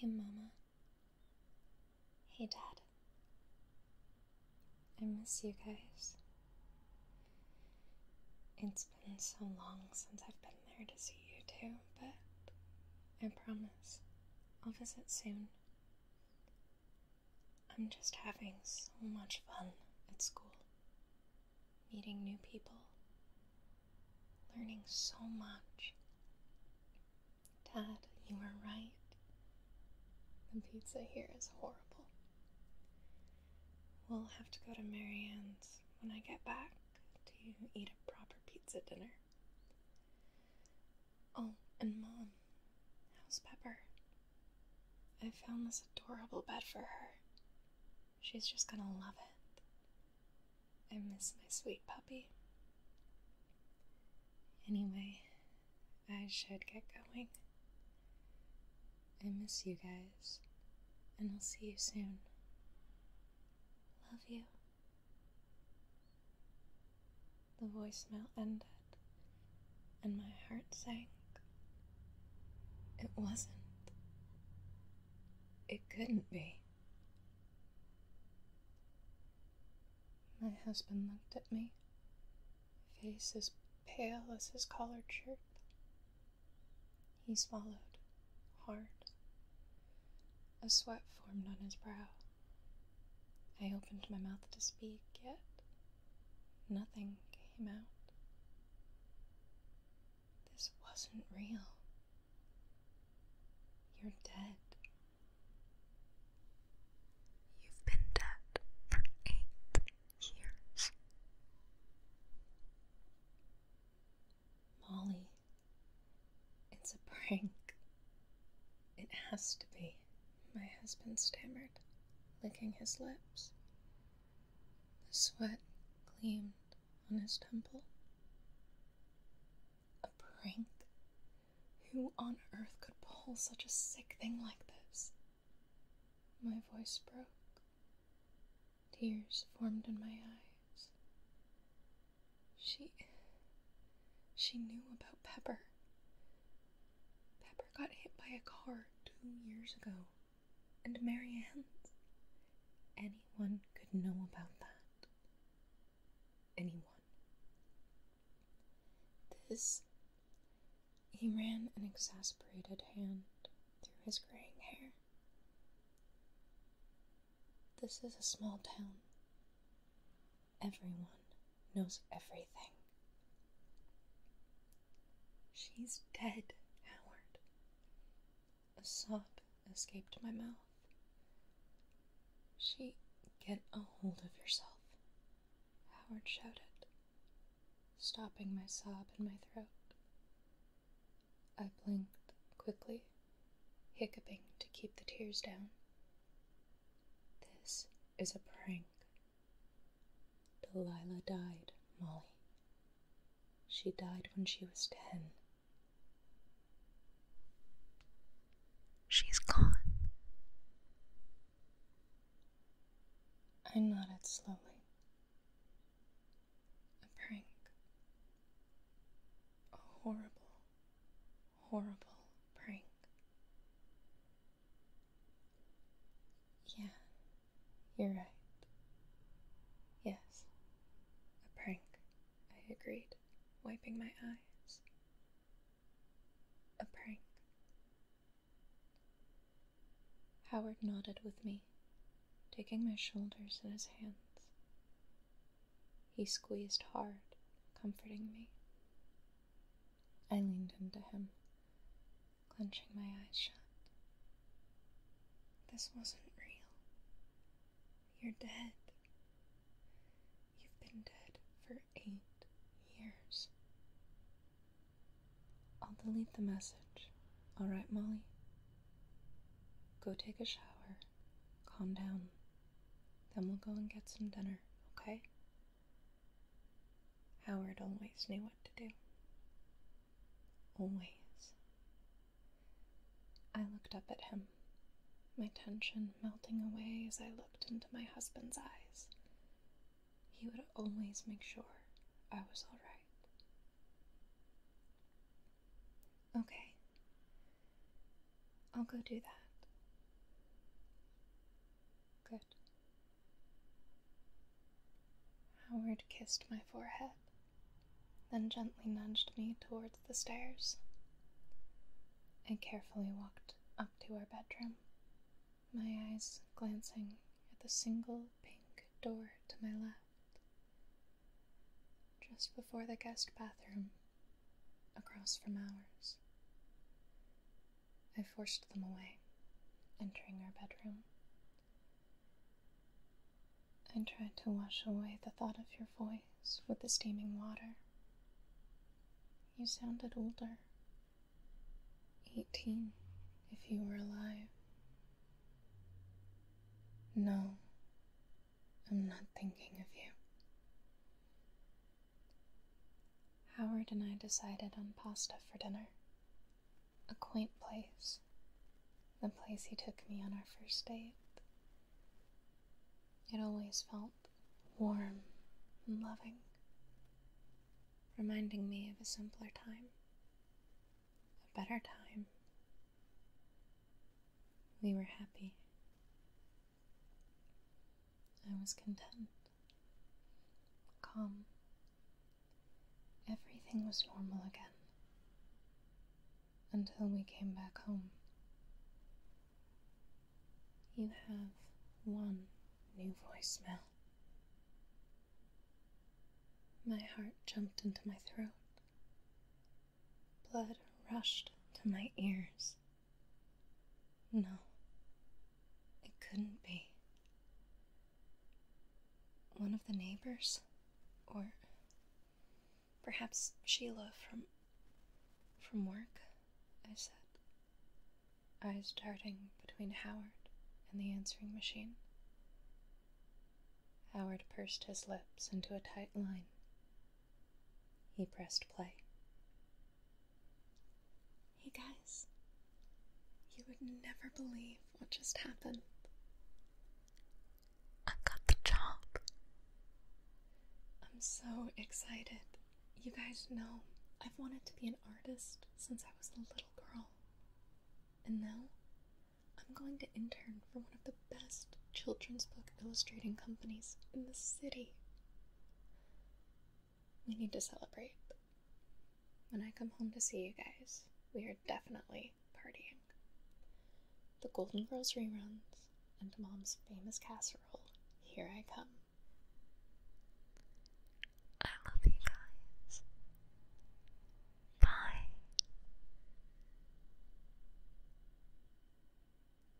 Hey, Mama. Hey, Dad. I miss you guys. It's been so long since I've been there to see you two, but I promise I'll visit soon. I'm just having so much fun at school. Meeting new people, learning so much. Dad, you were right. The pizza here is horrible. We'll have to go to Marianne's when I get back to eat a proper pizza dinner. Oh, and Mom, how's Pepper? I found this adorable bed for her. She's just gonna love it. I miss my sweet puppy. Anyway, I should get going. I miss you guys, and I'll see you soon. Love you. The voicemail ended, and my heart sank. It wasn't. It couldn't be. My husband looked at me, face as pale as his collared shirt. He swallowed hard. A sweat formed on his brow. I opened my mouth to speak, yet nothing came out. This wasn't real. You're dead. You've been dead for eight years. Molly it's a prank. It has to be, my husband stammered, licking his lips. The sweat gleamed on his temple. A prank? Who on earth could pull such a sick thing like this? My voice broke. Tears formed in my eyes. She. She knew about Pepper. Pepper got hit by a car two years ago, and Marianne's. Anyone could know about that. Anyone. This. He ran an exasperated hand through his graying hair. This is a small town. Everyone knows everything. She's dead, Howard. A sob escaped my mouth. She. Get a hold of yourself, Howard shouted, stopping my sob in my throat. I blinked quickly, hiccuping to keep the tears down. This is a prank. Delilah died, Molly. She died when she was ten. She's gone. I nodded slowly. A prank. horrible, horrible prank. Yeah, you're right. Yes, a prank, I agreed, wiping my eyes. A prank. Howard nodded with me, taking my shoulders in his hands. He squeezed hard, comforting me. I leaned into him, clenching my eyes shut. This wasn't real. You're dead. You've been dead for eight years. I'll delete the message. All right, Molly? Go take a shower. Calm down. Then we'll go and get some dinner, okay? Howard always knew what to do. Always. I looked up at him, my tension melting away as I looked into my husband's eyes. He would always make sure I was all right. Okay, I'll go do that. Good. Howard kissed my forehead, then gently nudged me towards the stairs. I carefully walked up to our bedroom, my eyes glancing at the single pink door to my left. Just before the guest bathroom, across from ours. I forced them away, entering our bedroom. I tried to wash away the thought of your voice with the steaming water. You sounded older. Eighteen, if you were alive. No, I'm not thinking of you. Howard and I decided on pasta for dinner. A quaint place. The place he took me on our first date. It always felt warm and loving, reminding me of a simpler time, a better time. We were happy. I was content, calm. Everything was normal again until we came back home. You have one new voicemail. My heart jumped into my throat. Blood rushed to my ears. No, it couldn't be. One of the neighbors? Or perhaps Sheila from. from work? I said, eyes darting between Howard and the answering machine. Howard pursed his lips into a tight line he pressed play. Hey guys, you would never believe what just happened. I got the job. I'm so excited. You guys know I've wanted to be an artist since I was a little girl. And now I'm going to intern for one of the best children's book illustrating companies in the city. We need to celebrate. When I come home to see you guys, we are definitely partying. The Golden Girls reruns and Mom's famous casserole. Here I come. I love you guys. Bye.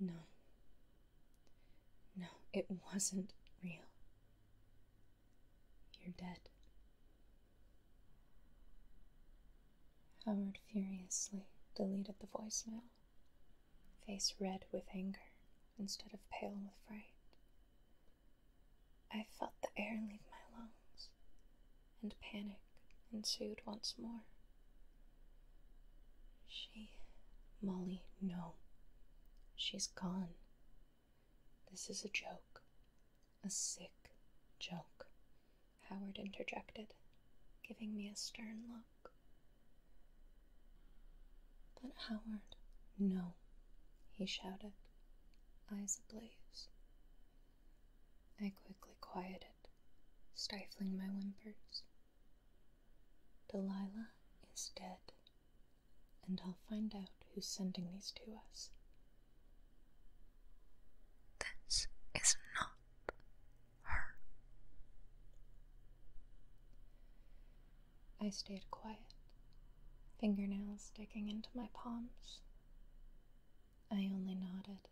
No, no, it wasn't real. You're dead. Howard furiously deleted the voicemail, face red with anger instead of pale with fright. I felt the air leave my lungs, and panic ensued once more. She. Molly, no. She's gone. This is a joke. A sick joke, Howard interjected, giving me a stern look. But Howard, no, he shouted, eyes ablaze. I quickly quieted, stifling my whimpers. Delilah is dead, and I'll find out who's sending these to us. This is not her. I stayed quiet, fingernails digging into my palms. I only nodded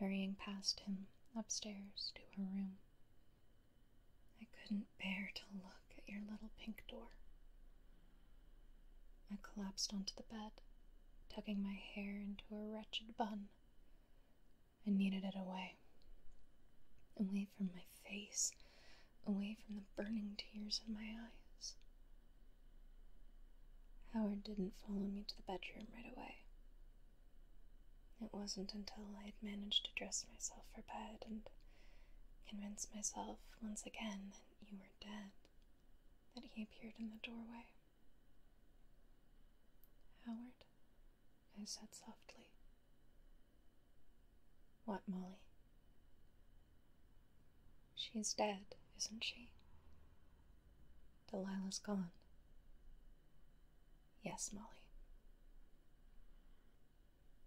hurrying past him upstairs to her room. I couldn't bear to look at your little pink door. I collapsed onto the bed, tucking my hair into a wretched bun. I needed it away. Away from my face, away from the burning tears in my eyes. Howard didn't follow me to the bedroom right away. It wasn't until I had managed to dress myself for bed and convince myself once again that you were dead that he appeared in the doorway. Howard, I said softly. What, Molly? She's dead, isn't she? Delilah's gone. Yes, Molly.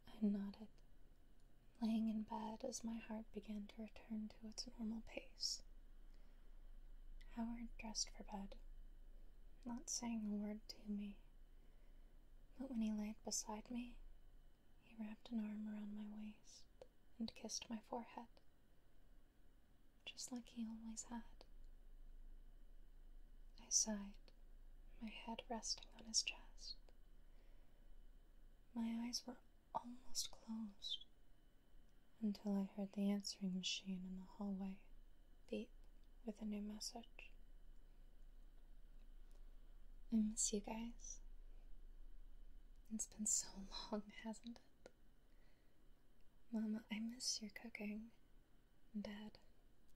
I nodded, laying in bed as my heart began to return to its normal pace. Howard dressed for bed, not saying a word to me, but when he laid beside me, he wrapped an arm around my waist and kissed my forehead just like he always had. I sighed, my head resting on his chest. My eyes were almost closed until I heard the answering machine in the hallway beep with a new message. I miss you guys. It's been so long, hasn't it? Mama, I miss your cooking. Dad,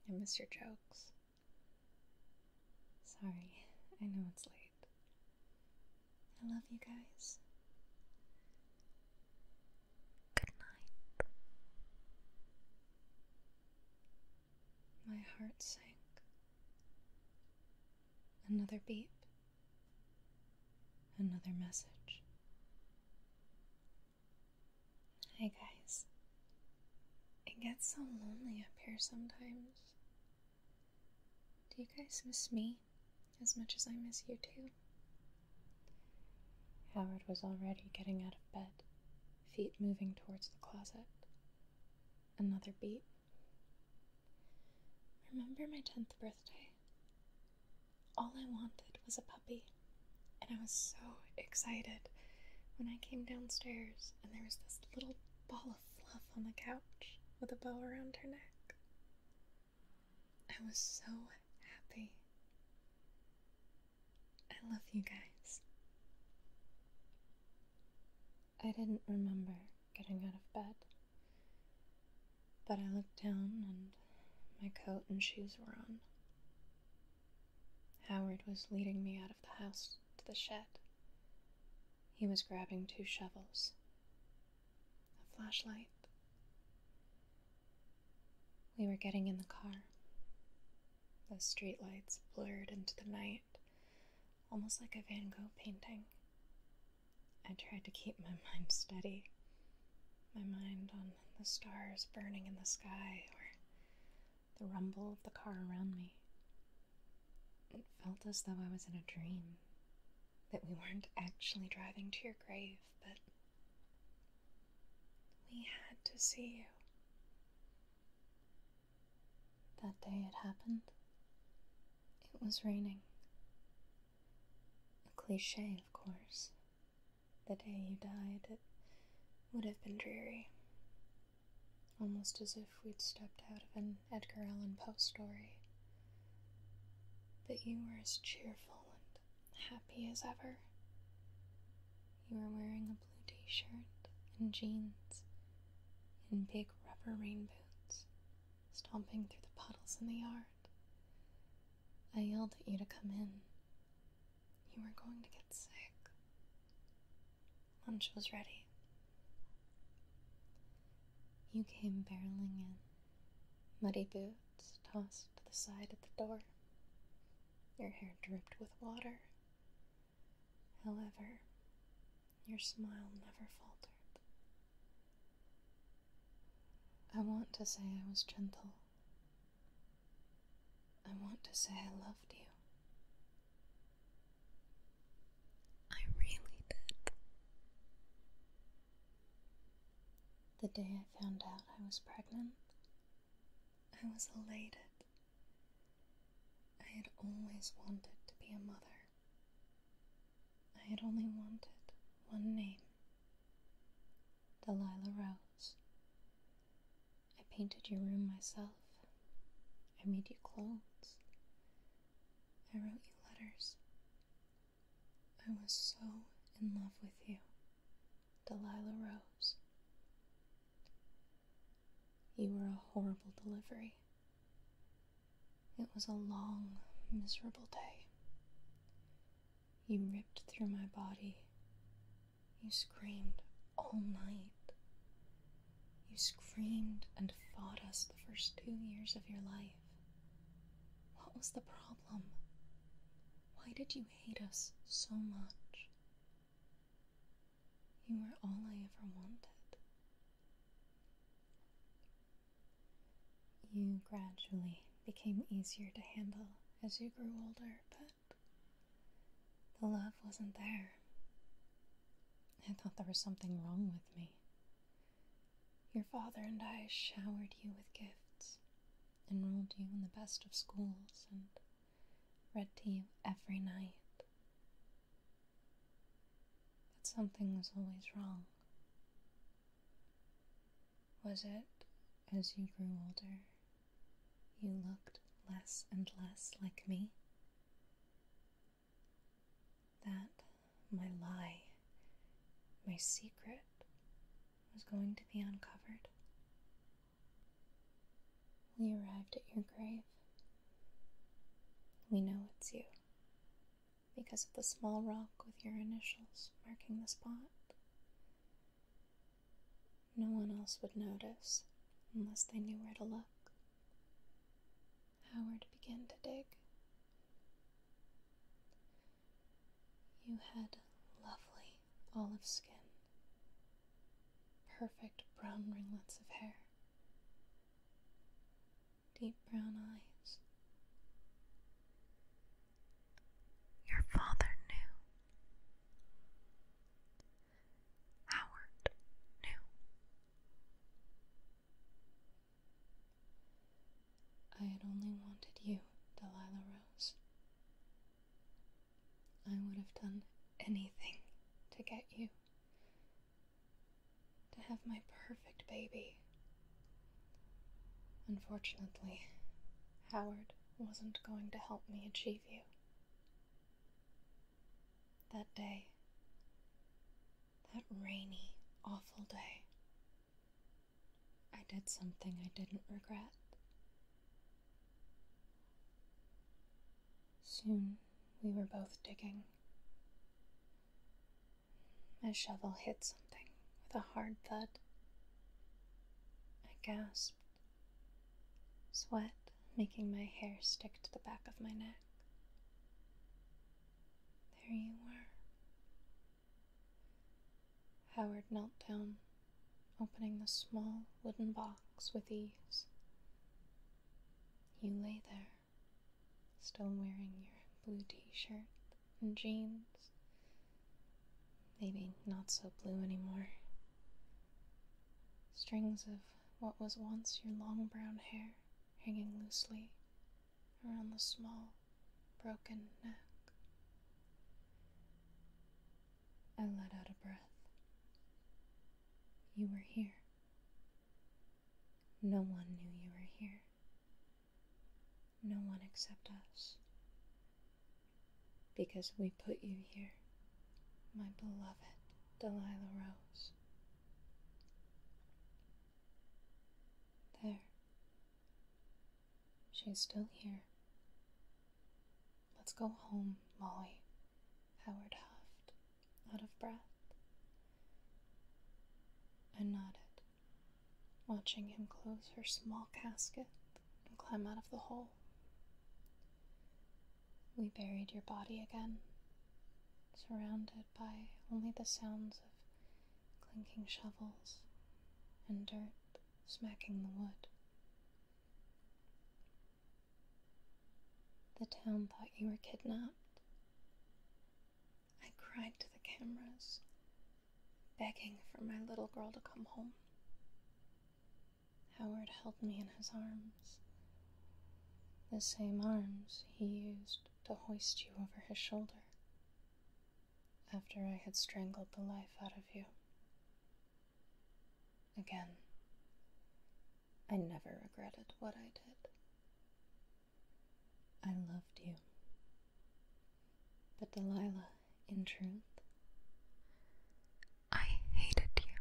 I miss your jokes. Sorry, I know it's late. I love you guys. Good night. My heart sank. Another beep. Another message. Hi, guys. It gets so lonely up here sometimes. Do you guys miss me as much as I miss you too? Howard was already getting out of bed, feet moving towards the closet. Another beat. Remember my 10th birthday? All I wanted was a puppy, and I was so excited when I came downstairs and there was this little ball of fluff on the couch with a bow around her neck. I was so happy. I love you guys. I didn't remember getting out of bed, but I looked down and my coat and shoes were on. Howard was leading me out of the house to the shed. He was grabbing two shovels, a flashlight. We were getting in the car. The streetlights blurred into the night, almost like a Van Gogh painting. I tried to keep my mind steady, my mind on the stars burning in the sky or the rumble of the car around me. It felt as though I was in a dream, that we weren't actually driving to your grave, but we had to see you. That day it happened, it was raining. A cliche, of course, the day you died, it would have been dreary. Almost as if we'd stepped out of an Edgar Allan Poe story. But you were as cheerful and happy as ever. You were wearing a blue t shirt and jeans and big rubber rain boots, stomping through the puddles in the yard. I yelled at you to come in, you were going to get sick. Lunch was ready. You came barreling in, muddy boots tossed to the side at the door. Your hair dripped with water. However, your smile never faltered. I want to say I was gentle, I want to say I loved you. I really did. The day I found out I was pregnant, I was elated. I had always wanted to be a mother. I had only wanted one name Delilah Rose. I painted your room myself. I made you clothes. I wrote you letters. I was so in love with you, Delilah Rose. You were a horrible delivery. It was a long, miserable day. You ripped through my body. You screamed all night. You screamed and fought us the first two years of your life. What was the problem? Why did you hate us so much? You were all I ever wanted. You gradually became easier to handle as you grew older, but the love wasn't there. I thought there was something wrong with me. Your father and I showered you with gifts, enrolled you in the best of schools, and read to you every night. But something was always wrong. Was it, as you grew older, you looked less and less like me? That my lie, my secret, was going to be uncovered? We arrived at your grave. We know it's you because of the small rock with your initials marking the spot. No one else would notice unless they knew where to look. Howard began to dig. You had lovely olive skin, perfect brown ringlets of hair, deep brown eyes. Your father knew. Howard knew. I had only wanted you, Delilah Rose. I would have done anything to get you, to have my perfect baby, Unfortunately, Howard wasn't going to help me achieve you. That day, that rainy, awful day, I did something I didn't regret. Soon we were both digging. My shovel hit something with a hard thud, I gasped, sweat making my hair stick to the back of my neck. There you were. Howard knelt down, opening the small wooden box with ease. You lay there, still wearing your blue t shirt and jeans. Maybe not so blue anymore. Strings of what was once your long brown hair hanging loosely around the small, broken neck. I let out a breath. You were here. No one knew you were here no one except us. Because we put you here, my beloved Delilah Rose. There. She's still here. Let's go home, Molly. Howard huffed, out of breath. I nodded, watching him close her small casket and climb out of the hole. We buried your body again, surrounded by only the sounds of clinking shovels and dirt smacking the wood. The town thought you were kidnapped. I cried to the cameras begging for my little girl to come home. Howard held me in his arms, the same arms he used to hoist you over his shoulder after I had strangled the life out of you. Again, I never regretted what I did. I loved you. But Delilah, in truth. I hated you.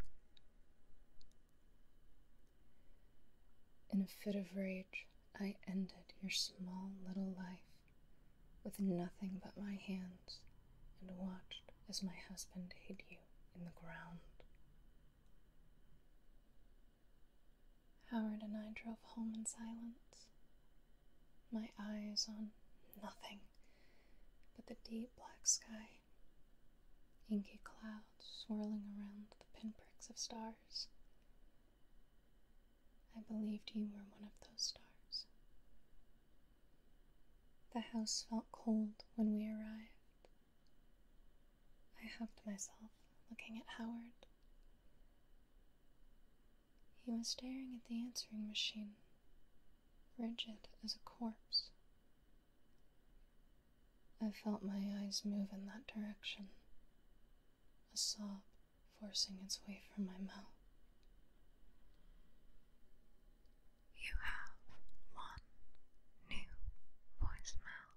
In a fit of rage, I ended your small little life with nothing but my hands and watched as my husband hid you in the ground. Howard and I drove home in silence my eyes on nothing but the deep black sky, inky clouds swirling around the pinpricks of stars. I believed you were one of those stars. The house felt cold when we arrived. I hugged myself, looking at Howard. He was staring at the answering machine, rigid as a corpse. I felt my eyes move in that direction, a sob forcing its way from my mouth. You have one new voicemail.